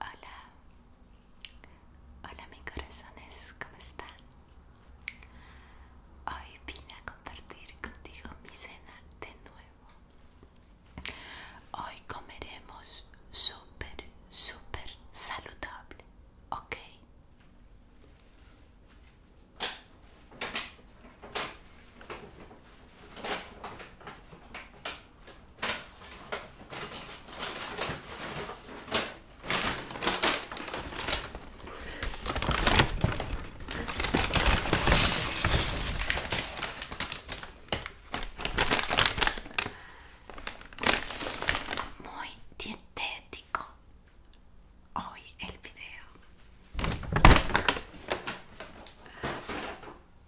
Hola, hola mis corazones, ¿cómo están? Hoy vine a compartir contigo mi cena de nuevo. Hoy comeremos súper, súper saludable, ¿ok? Muy dietético hoy el video.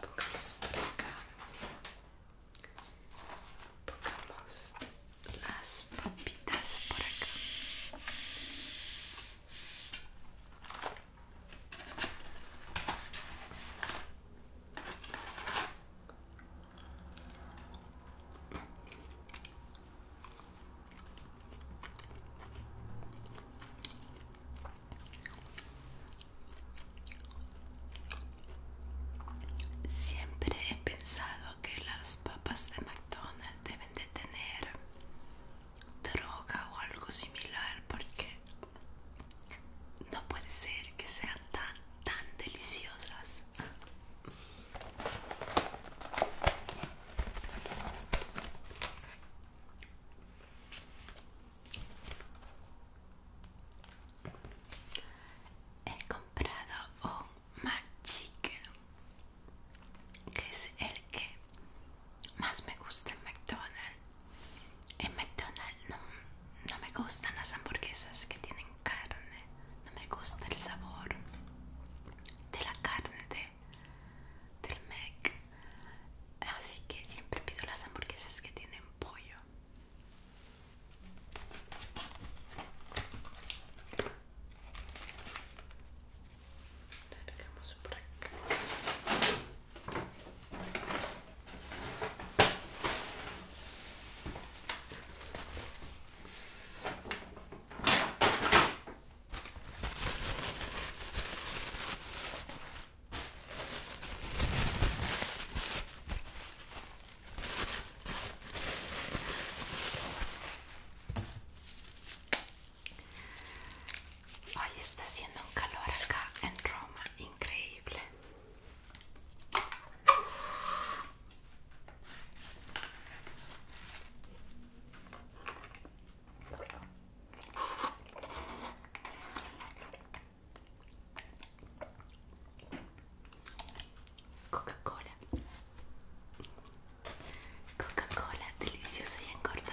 pongamos por acá pongamos las papitas por acá Siempre he pensado que las papas de McDonald's deben de tener droga o algo similar porque no puede ser que sean tan tan deliciosas. He comprado un McChicken, que es el que más me gusta en McDonald's. En McDonald's no, me gustan las hamburguesas que tienen carne, no me gusta el sabor de la carne del Mc Así que siempre pido las hamburguesas que tienen pollo. Hoy está haciendo un calor acá en Roma, increíble. Coca-Cola. Coca-Cola deliciosa y engordadora.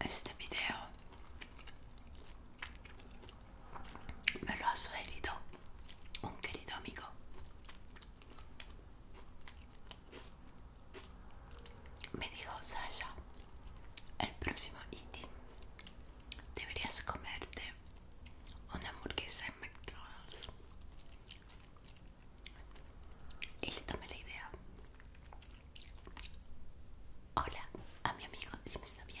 Este video me lo ha sugerido un querido amigo. Me dijo Sasha, el próximo eating deberías comerte una hamburguesa en McDonald's y le tomé la idea. Hola, a mi amigo, si me está viendo.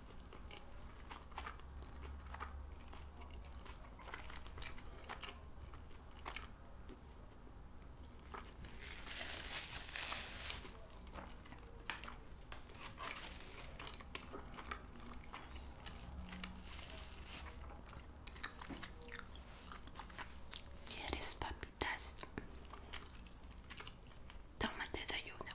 ¿Quieres papitas? Tómate de ayuda.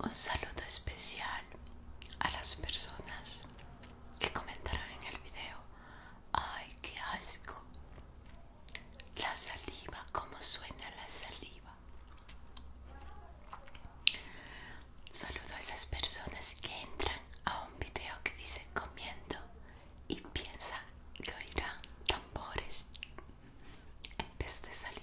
Un saludo especial a las personas que comentaron en el video. Ay, qué asco. La saliva, cómo suena la saliva. Saludo a esas personas que entran a un video que dice comiendo y piensan que oirán tambores en vez de saliva.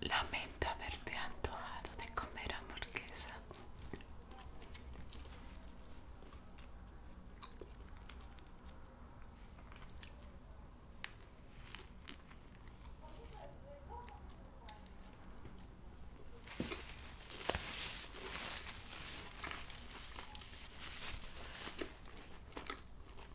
Lamento haberte antojado de comer hamburguesa.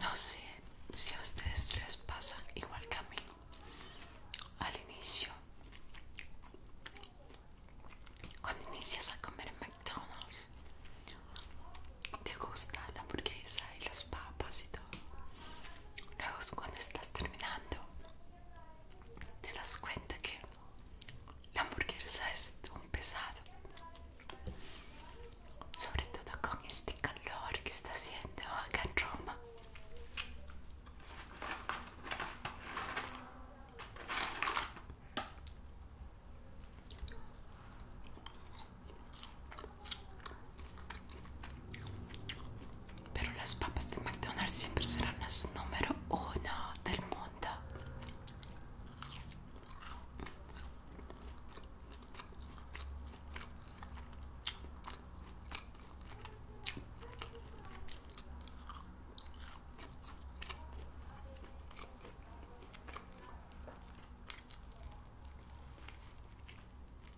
No sé si a ustedes les pasa igual que a mí al inicio. Cuando inicias a comer en McDonald's, te gusta la hamburguesa y las papas y todo. Luego cuando estás terminando, te das cuenta que la hamburguesa es un pesado, sobre todo con este calor que está haciendo acá en Roma. Pero las papas de McDonald's siempre serán las número uno del mundo.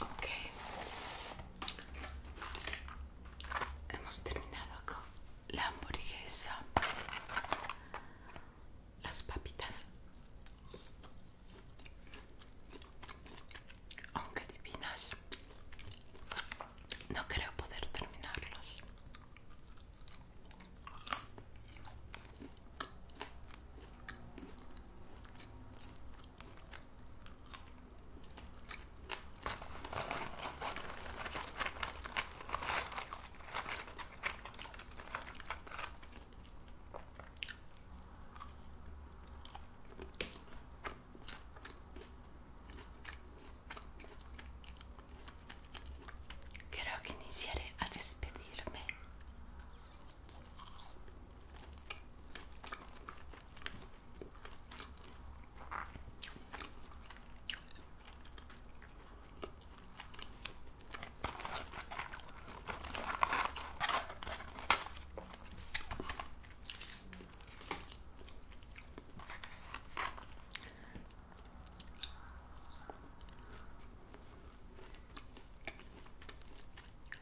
Ok, hemos terminado con la hamburguesa, las papitas. Aunque divinas, no creo poder terminarlos. Creo que iniciaré a despedirme.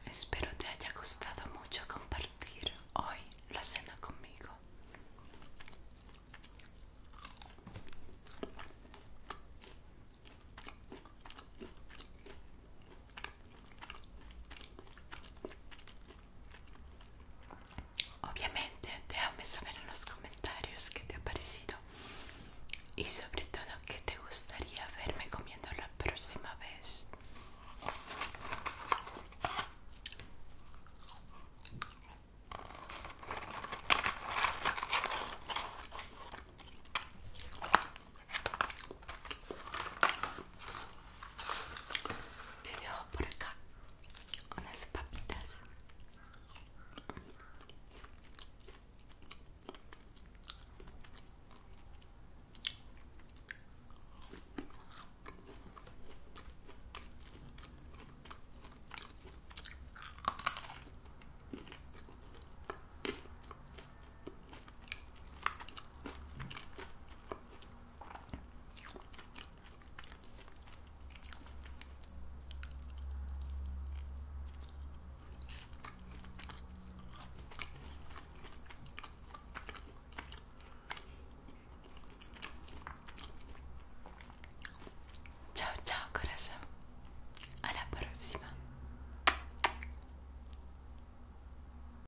Espero te haya costado mucho compartir hoy la cena conmigo. Obviamente déjame saber en los comentarios qué te ha parecido y sobre todo qué te gustaría verme comiendo la próxima vez. Te dejo por acá unas papitas. tchau coração corazón. A próxima.